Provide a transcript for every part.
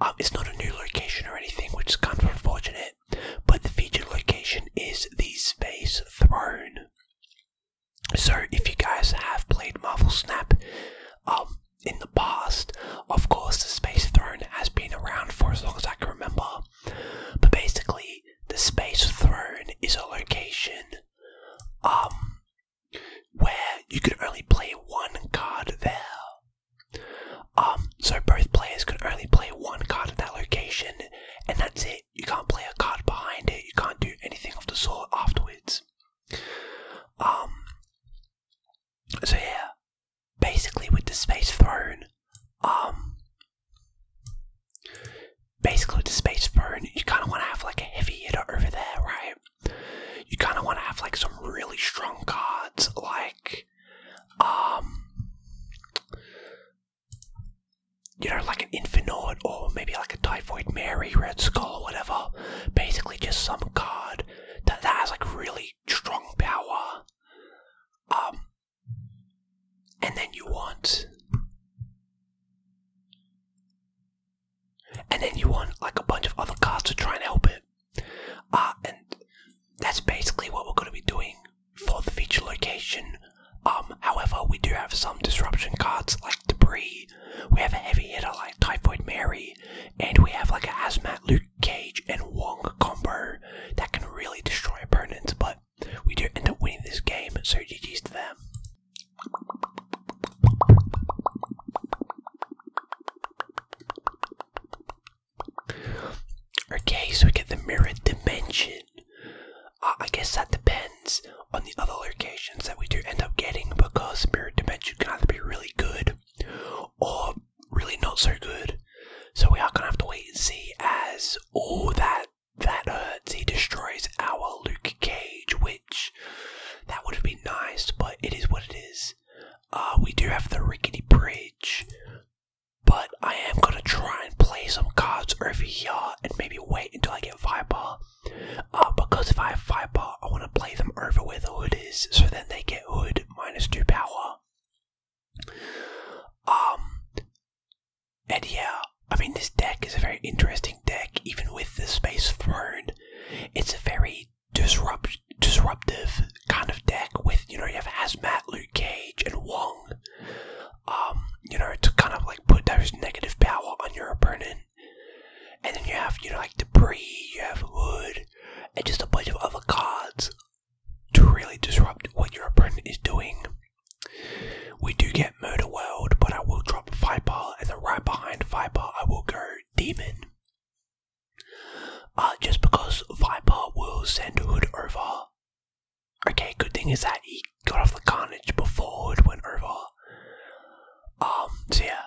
Oh, it's not a new location or anything, which is kind of unfortunate. But the featured location is the Space Throne. So if you guys have played Marvel Snap um, in the past, of course the Space Throne has been around for as long as I can remember. But basically, the Space Throne is a location um, where you can only play one card there. Um, so both players can only play one card at that location, and that's it. You can't play a card behind it, you can't do anything of the sort afterwards. Um, so yeah, basically with the space throne, um, basically with the space throne, you kind of want to have like a heavy hitter over there, right? You kind of want to have like some really strong cards, like um you know like an infinite or maybe like a typhoid mary red skull or whatever basically just some card that, that has like really strong power um and then you want and then you want like a bunch of other cards to try and help it uh, and that's basically what we're going to be doing for the feature location. Um, however, we do have some disruption cards like Debris, we have a heavy hitter like Typhoid Mary, and we have like a Hazmat Luke Cage and Wong combo that can really destroy opponents, but we do end up winning this game, so GG's to them. Okay, so we get the mirror dimension. Uh, I guess that depends on the other locations that we do end up getting because mirror dimension can either be really good or really not so good. So we are gonna have to wait and see as all that that hurts. He destroys our Luke Cage, which that would have been nice, but it is what it is. Uh, we do have the rickety bridge, but I am gonna try and play some cards over here and maybe wait until I get fireball. Uh, because if I have fireball, I wanna play them over where the hood is, so then they get hood minus two power. Um and yeah, I mean this deck is a very interesting deck, even with the space throne. It's a very disrupt disruptive kind of deck with you know you have Hazmat, Luke Cage, and Wong. Um, you know to kind of like put those negative power on your opponent, and then you have you know like debris, you have Hood, and just a bunch of other cards to really disrupt what your opponent is doing. We do get Murder World, but I will drop Viper, and then right behind Viper I will go Demon. Uh, just because Viper will send Hood over. Okay, good thing is that he got off the carnage before Hood went over. Um, so yeah,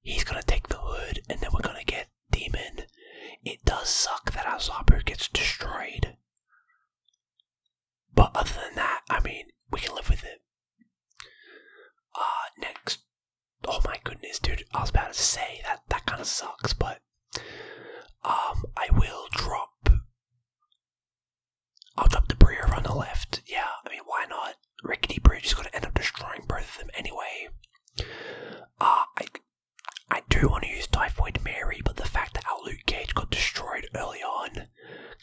he's gonna take the Hood and then we're gonna get Demon. It does suck that our gets destroyed. But other than that, I mean, we can live with it. Uh, next. Oh my goodness, dude, I was about to say that that kind of sucks, but um, I will drop. I'll drop the Breer on the left. Yeah, I mean, why not? Rickety Bridge is going to end up destroying both of them anyway. Uh, I, I do want to use Typhoid Mary, but the fact that our Luke Cage got destroyed early on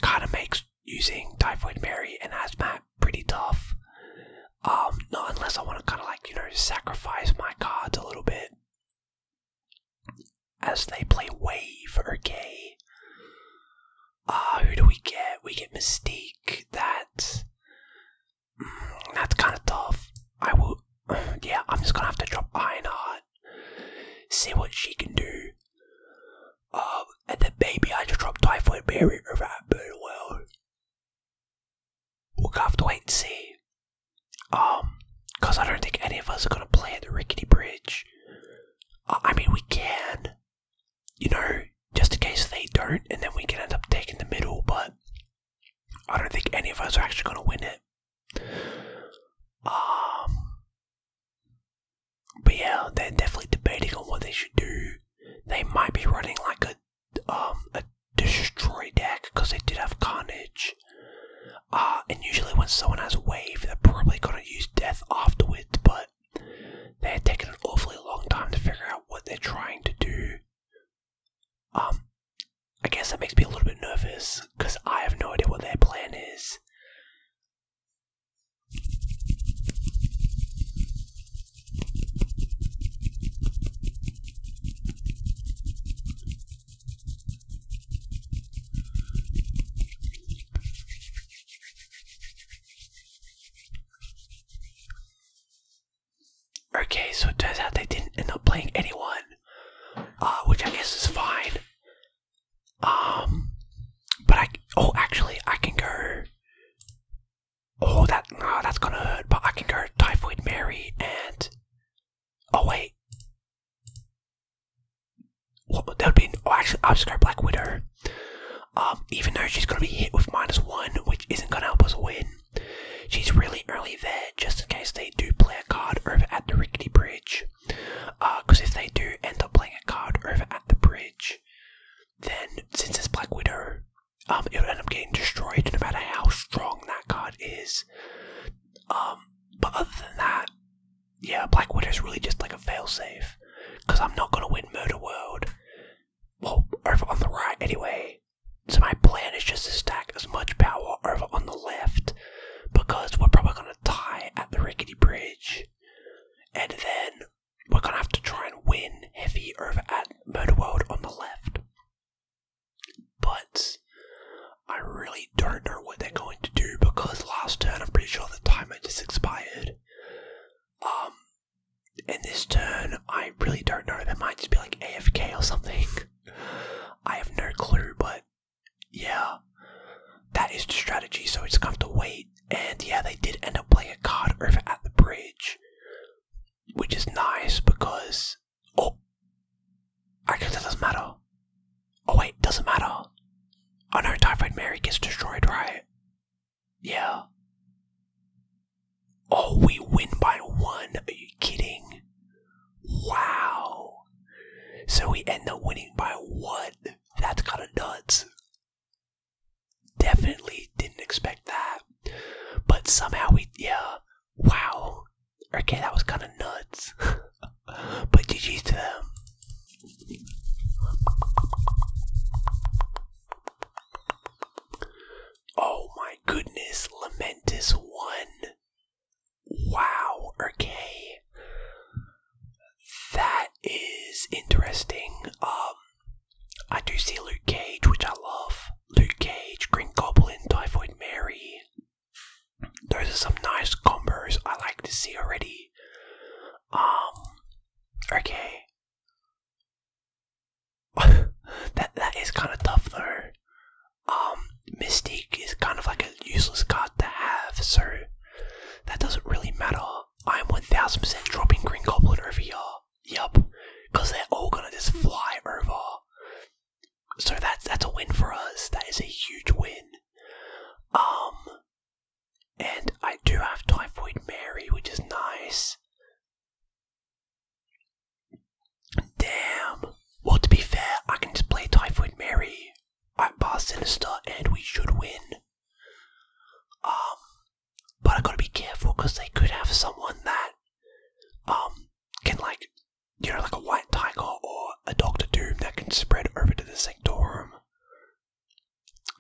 kind of makes using Typhoid Mary and Asmat pretty tough. Um, not unless I want to kind of like, you know, sacrifice my cards a little bit as they play Wave or Gay. Ah, who do we get? We get Mystique. That mm, that's kind of tough. I will. Yeah, I'm just gonna have to drop Ironheart. See what she can do. Um, and then maybe I just drop Typhoid Mary over at Birdwell. We'll have to wait and see. Um, because I don't think any of us are going to play at the rickety bridge. I mean, we can, you know, just in case they don't, and then we can end up taking the middle, but I don't think any of us are actually going to win it. Um, but yeah, they're definitely debating on what they should do. They might be running like a um, a destroy deck because they did have carnage. Uh, and usually when someone has wave, they're probably going to use death afterwards, but they're taking an awfully long time to figure out what they're trying to do. Um, I guess that makes me a little bit nervous because I have no idea what their plan is. Okay, so it turns out they didn't end up playing anyone, uh, which I guess is fine. Um, but I oh actually I can go. Oh that no, that's gonna hurt. But I can go Typhoid Mary and Oh wait. Well, that would be oh actually obscure Black Widow. Um, even though she's gonna be hit with minus one, which isn't gonna help us win. She's really early there, just in case they do play a card over at the rickety bridge. Because uh, if they do end up playing a card over at the bridge, then since it's Black Widow, um, it would end up getting destroyed no matter how strong that card is. Um, but other than that, yeah, Black Widow is really just like a failsafe. Because I'm not going to win Murder World. Well, over on the right anyway. So my plan is just to stack as much power over on the left. Because we're probably going to tie at the rickety bridge. And then we're going to have to try and win Heavy over at Murder World on the left. But I really don't know what they're going to do because last turn I'm pretty sure the timer just expired. Um, in this turn I really don't know. They might just be like AFK or something. I have no clue, but yeah, that is the strategy. So it's kind of to wait. And yeah, they did end up playing a card over at the bridge, which is nice because Oh, I actually, that doesn't matter. Oh wait, doesn't matter. I oh, know Typhoid Mary gets destroyed, right? Yeah. Oh, we win by one. Are you kidding? Wow. So we end up winning by one. That's kind of nuts. Definitely didn't expect that. But somehow we, yeah. Wow. Okay, that was kind of nuts. but GG's to them. Oh my goodness, lamentous one. Wow, okay. That is interesting. Um, I do see Luke Cage, which I love. Luke Cage, Green Goblin, Typhoid Mary, those are some nice combos I like to see already. Um, okay. that that is kind of tough though. Um, Mystique is kind of like a useless card to have, so that doesn't really matter. I'm 1000% dropping Green Goblin over y'all. Yup. Cause they're all Yup, because they're all gonna just fly over. So that's that's a win for us. That is a huge win. Um, and I do have Typhoid Mary, which is nice. Damn. Well, to be fair, I can just play Typhoid Mary at Bar Sinister, and we should win. Um, but I gotta be careful because they could have someone that um can like you know, like a white tiger or a Doctor Doom that can spread over to the Sanctorum.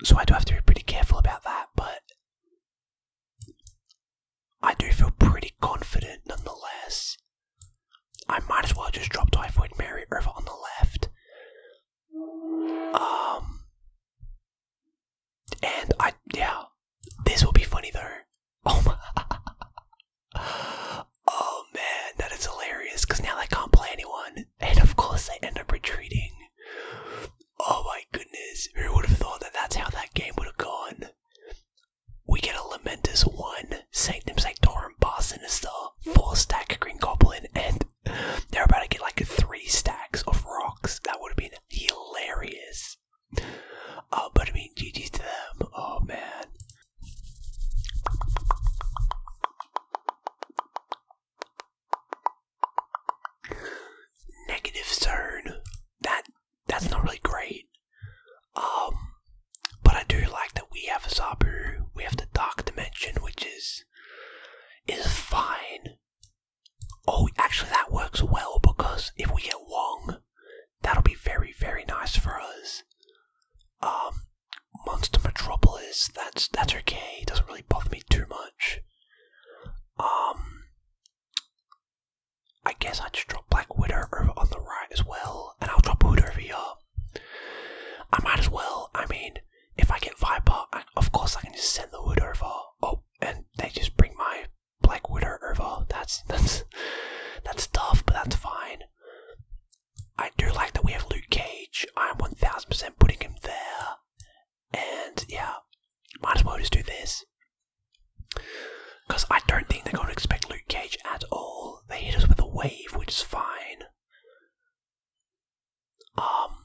So I do have to be pretty careful about that, but I do feel pretty confident nonetheless. I might as well just drop Typhoid Mary over on the left. Um, and I, yeah, this will be funny though. Oh my. Oh man, that is hilarious. Cause now I can't play anyone, and of course they end up retreating. Oh my goodness, who would have thought that that's how that game would have gone? We get a lamentous 1, Sanctum Sanctorum, Bar Sinister, 4 stack Green Goblin, and they're about to get like 3 stacks of rocks. That would have been hilarious. Oh, but I mean, GG's to them. Oh man. Negative zone. That that's not really great. Um, but I do like that we have a Zabu. We have the Dark Dimension, which is is fine. Oh, actually, that works well because if we get Wong, That'll be very, very nice for us. Um, Monster Metropolis, that's that's okay. It doesn't really bother me too much. Um, I guess I just drop Black Widow over on the right as well, and I'll drop Hood over here. I might as well. I mean, if I get Viper, of course I can just send the Hood over. Oh, and they just bring my Black Widow over. That's that's that's tough, but that's fine. I do like that we have Luke Cage. I'm 1000% putting him there. And yeah, might as well just do this. Because I don't think they're going to expect Luke Cage at all. They hit us with a wave, which is fine. Um.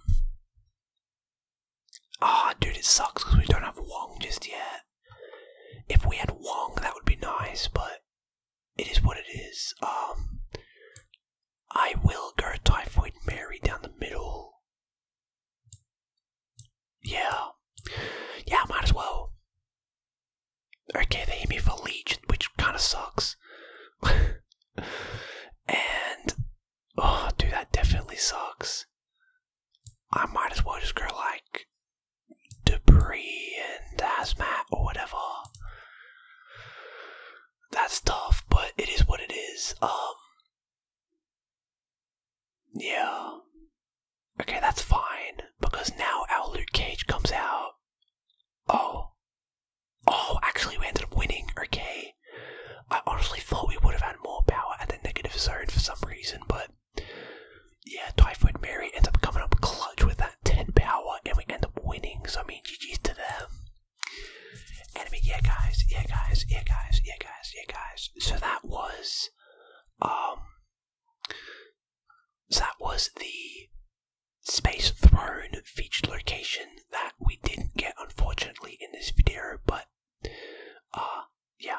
Ah, dude, it sucks because we don't have Wong just yet. If we had Wong, that would be nice, but it is what it is. Um, I will go Typhoid Mary down the middle. Yeah. Yeah, might as well. Okay, they hit me for Legion, which kind of sucks. and, oh, dude, that definitely sucks. I might as well just go like debris and hazmat or whatever. That's tough, but it is what it is. Um, yeah. Okay, that's fine because now our Luke Cage comes out. Oh, oh, actually, we ended up winning. Okay, I honestly thought we would have had more power at the negative zone for some reason, but yeah, Typhoid Mary ends up coming up clutch with that 10 power, and we end up winning. So, I mean, GG to them. yeah, guys, yeah, guys, yeah, guys, yeah, guys, yeah, guys. So that was, um, that was the Space Throne featured location that we didn't get, unfortunately, in this video. But, uh, yeah.